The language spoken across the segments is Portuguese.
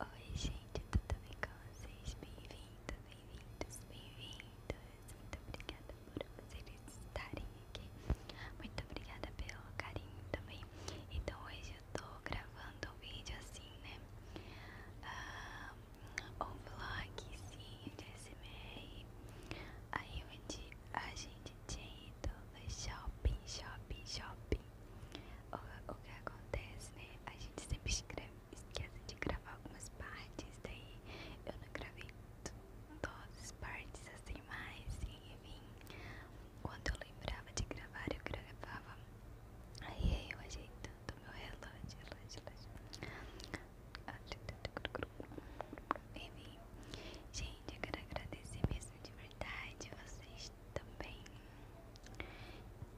Oi gente, tudo bem com vocês? Bem-vindos, bem-vindos, bem-vindos Muito obrigada por vocês estarem aqui Muito obrigada pelo carinho também Então hoje eu tô gravando um vídeo assim, né? Ah, um vlogzinho de SMR Aí onde a gente tinha ido no shopping, shopping, shopping o, que acontece, né? A gente sempre esquece de gravar algumas partes, daí eu não gravei todas as partes assim mais, enfim. Quando eu lembrava de gravar, eu gravava. Aí eu ajeitando meu relógio, relógio, relógio. Enfim, gente, eu quero agradecer mesmo de verdade vocês também,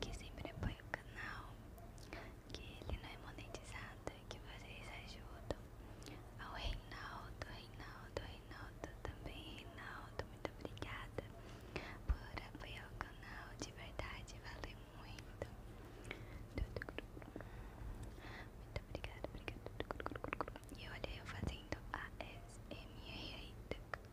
que sempre apoia o canal, que ele não é monetizado, que vocês ajudam. Ao Reinaldo, Reinaldo, Reinaldo também, Reinaldo, muito obrigada por apoiar o canal, de verdade, valeu muito. Muito obrigada, obrigada. E olha eu fazendo ASMR.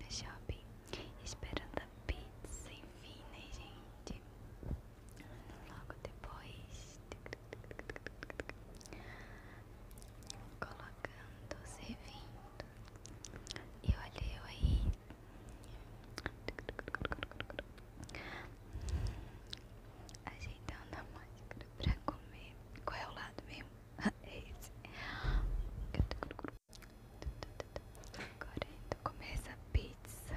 No shopping, esperando a pizza, enfim, né, gente? Logo depois, colocando, servindo. E olha eu aí, Ajeitando a máscara pra comer. Qual é o lado mesmo? É esse. Agora então começa a pizza.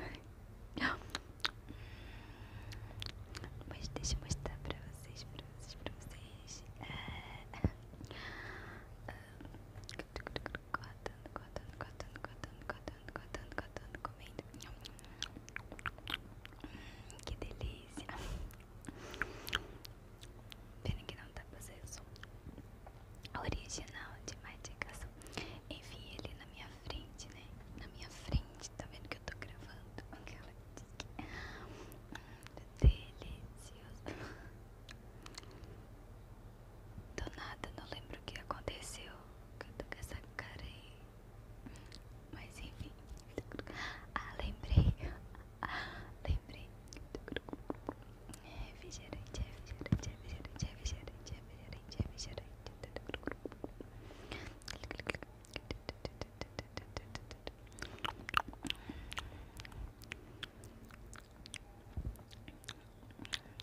Mas deixa eu mostrar pra vocês, pra vocês, pra vocês. Ah, cortando, cortando, cortando, cortando, cortando, cortando, cortando, comendo. Hum, que delícia. Pena que não dá fazendo o som. Original de Madigação. Enfim, ele na minha frente, né? Na minha frente, tá vendo que eu tô gravando? Aquela hum, Delicioso. Do nada, não lembro o que aconteceu. Que com essa cara aí. Mas enfim. Ah, lembrei. lembrei. É refrigerante, é refrigerante, é refrigerante, refrigerante, refrigerante, refrigerante.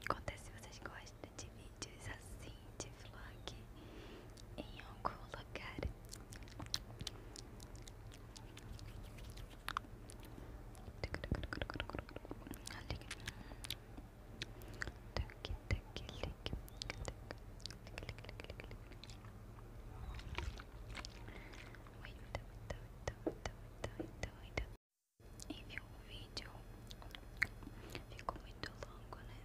Conta se vocês gostam de vídeos assim, de vlog em algum lugar muito, muito, muito, muito, muito, muito. E viu o vídeo? Ficou muito longo, né?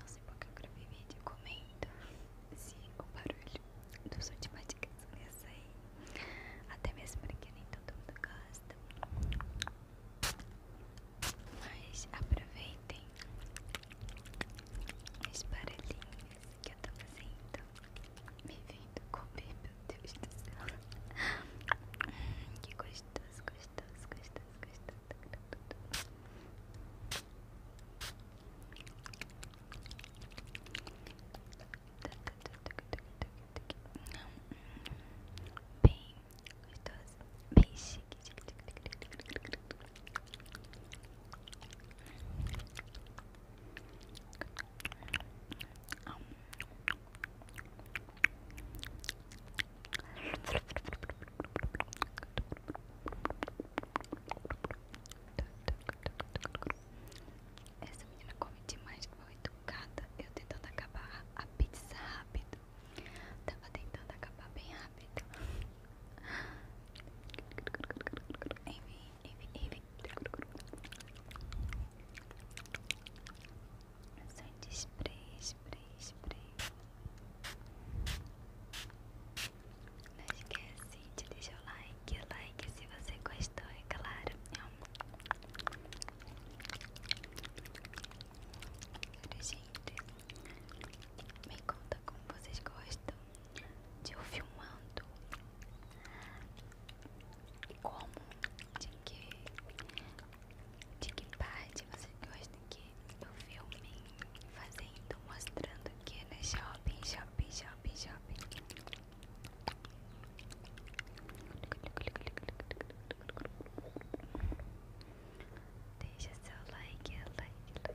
Não sei porque eu gravei vídeo comenta se o barulho do som de mastigação ia sair. Até mesmo porque nem todo mundo gosta. Mas aproveitem os barulhinhos isso que eu tô fazendo me vendo comer, meu Deus do céu. Hum, que gostoso, gostoso, gostoso, gostoso. Bem gostoso, bem chique. Hum, essa menina come demais, mal educada. Eu tentando acabar a pizza rápido. Tava tentando acabar bem rápido. Enfim, enfim, enfim. Ação de spray, spray, spray. Não esquece de deixar o like, like se você gostou, é claro. Agora, gente, me conta como vocês gostam de eu filmando como, de que, de que parte vocês gostam que eu filme fazendo, mostrando que é né? shopping, shopping, shopping, shopping. Deixa seu like, é like, like.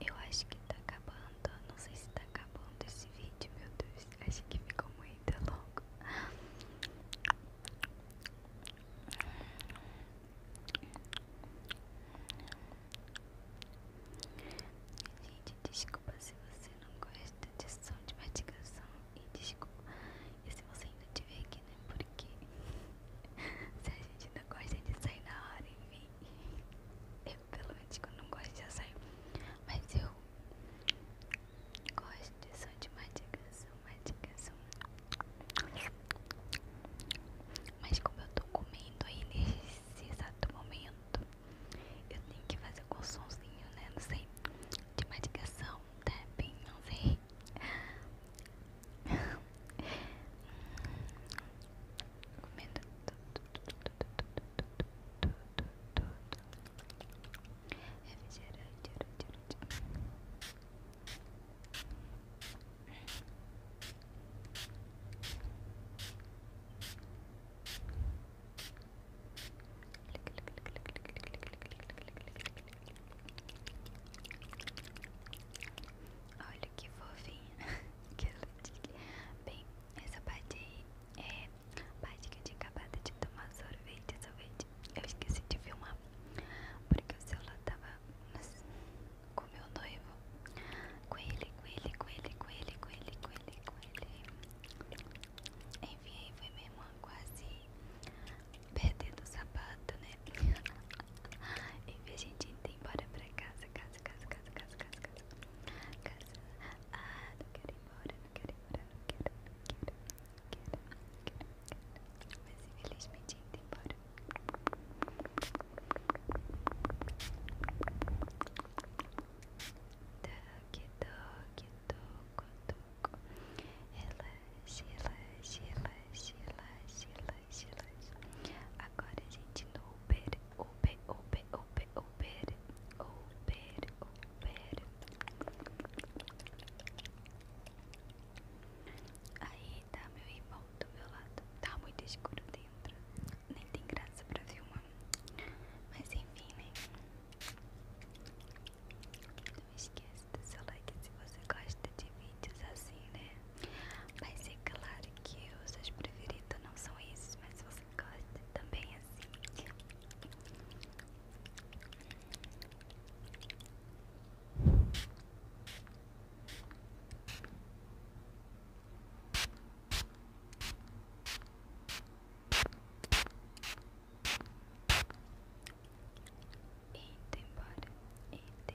Eu acho que tá acabando. Não sei se tá acabando esse vídeo, meu Deus. Acho que ficou muito longo. Gente, desculpa se você não gosta de som de matigação. E desculpa. se você ainda estiver aqui, né? Porque se a gente não gosta de sair na hora, enfim. Eu pelo menos que eu não gosto de açaí. Mas eu gosto de som de matigação, matigação. Mas como eu tô comendo aí nesse exato momento, eu tenho que fazer com o somzinho, né? Não sei. De tá bem não sei. Comendo Refrigerante Olha que fofinha Bem, essa parte aí é parte que eu tinha acabado de tomar sorvete, sorvete. Eu esqueci de filmar, porque o celular tava com meu noivo. Com ele, com ele, com ele, com ele, com ele, com ele, com ele. Enfim, foi minha irmã quase perdendo o sapato, né? Enfim, a gente indo embora pra casa, casa, casa, casa, casa, casa, Ah, não quero ir embora, não quero ir embora, não quero, não quero, não quero, não quero, não quero. Mas infelizmente indo embora. Toque, toque, toco, toco. Relaxe, relaxe, relaxe, relaxe, agora a gente, no Uber, Uber, Uber, Uber, Uber, Uber, Aí tá meu irmão do meu lado. Tá muito escuro dentro. Nem tem graça pra uma Mas enfim, né? Não esqueça do seu like se você gosta de vídeos assim, né? Mas é claro que os seus preferidos não são esses, mas se você gosta também é assim. Eita embora, eita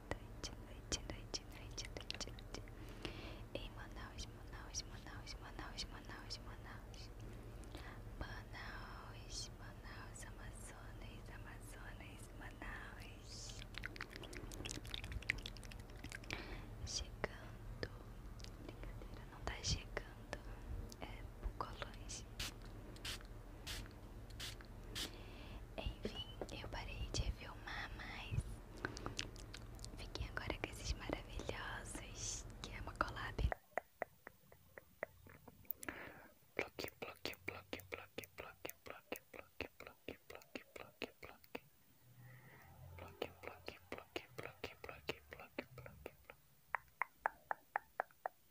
noite, noite, noite, noite, noite, noite. Em Manaus, Manaus, Manaus, Manaus, Manaus, Manaus. Manaus, Manaus, Amazonas, Amazonas, Manaus. Chegando. Brincadeira, não tá chegando. É por colões. Enfim, eu parei de filmar, mas fiquei agora com esses maravilhosos que é uma collab. Bloque, bloque, bloque, bloque, bloque, bloque, bloque, bloque, bloque, bloque, bloque. Bloque, bloque, bloque, bloque, bloque, bloque, bloque, bloque.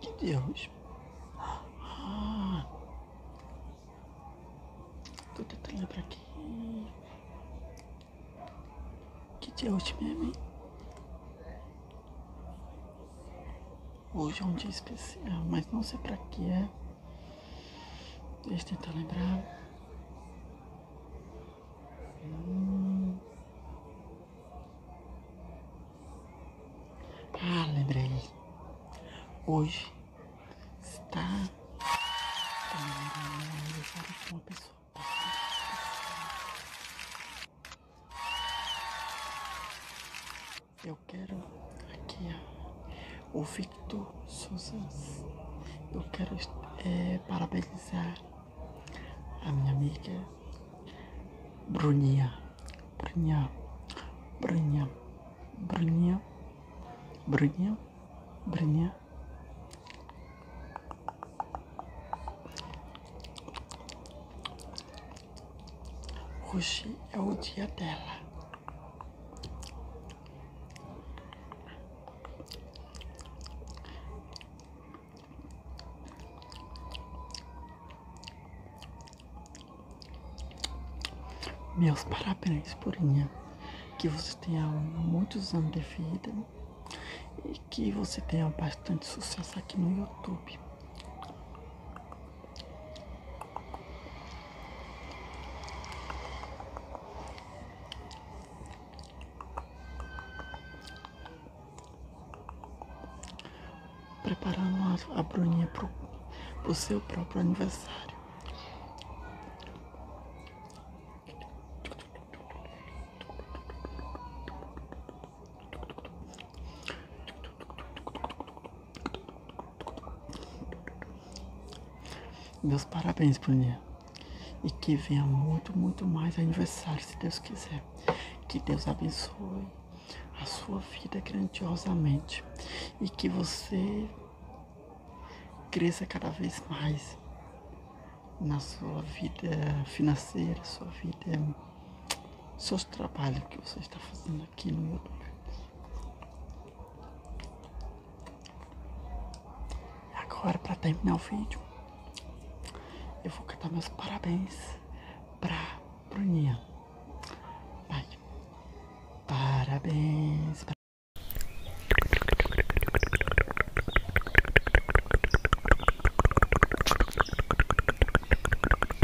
Que Deus. tô tentando tá lembrar aqui. Que Deus hoje mesmo, Hoje é um dia especial, mas não sei pra quê é. Deixa tentar lembrar. Hum. Ah, lembrei. Hoje está comemorando uma pessoa. Eu quero aqui o ouvir Instituto Susans, eu quero é, parabenizar a minha amiga Bruninha, Bruninha, Bruninha, Bruninha, Bruninha, Bruninha. Hoje é o dia dela. Meus parabéns, Purinha. Que você tenha muitos anos de vida e que você tenha bastante sucesso aqui no YouTube. Preparamos a, a Bruninha pro, pro seu próprio aniversário. Meus parabéns, Bruninha. E que venha muito, muito mais aniversário, se Deus quiser. Que Deus abençoe a sua vida grandiosamente. E que você cresça cada vez mais na sua vida financeira, sua vida, seus trabalho que você está fazendo aqui no YouTube. Agora, para terminar o vídeo, eu vou cantar meus parabéns para Bruninha. Parabéns.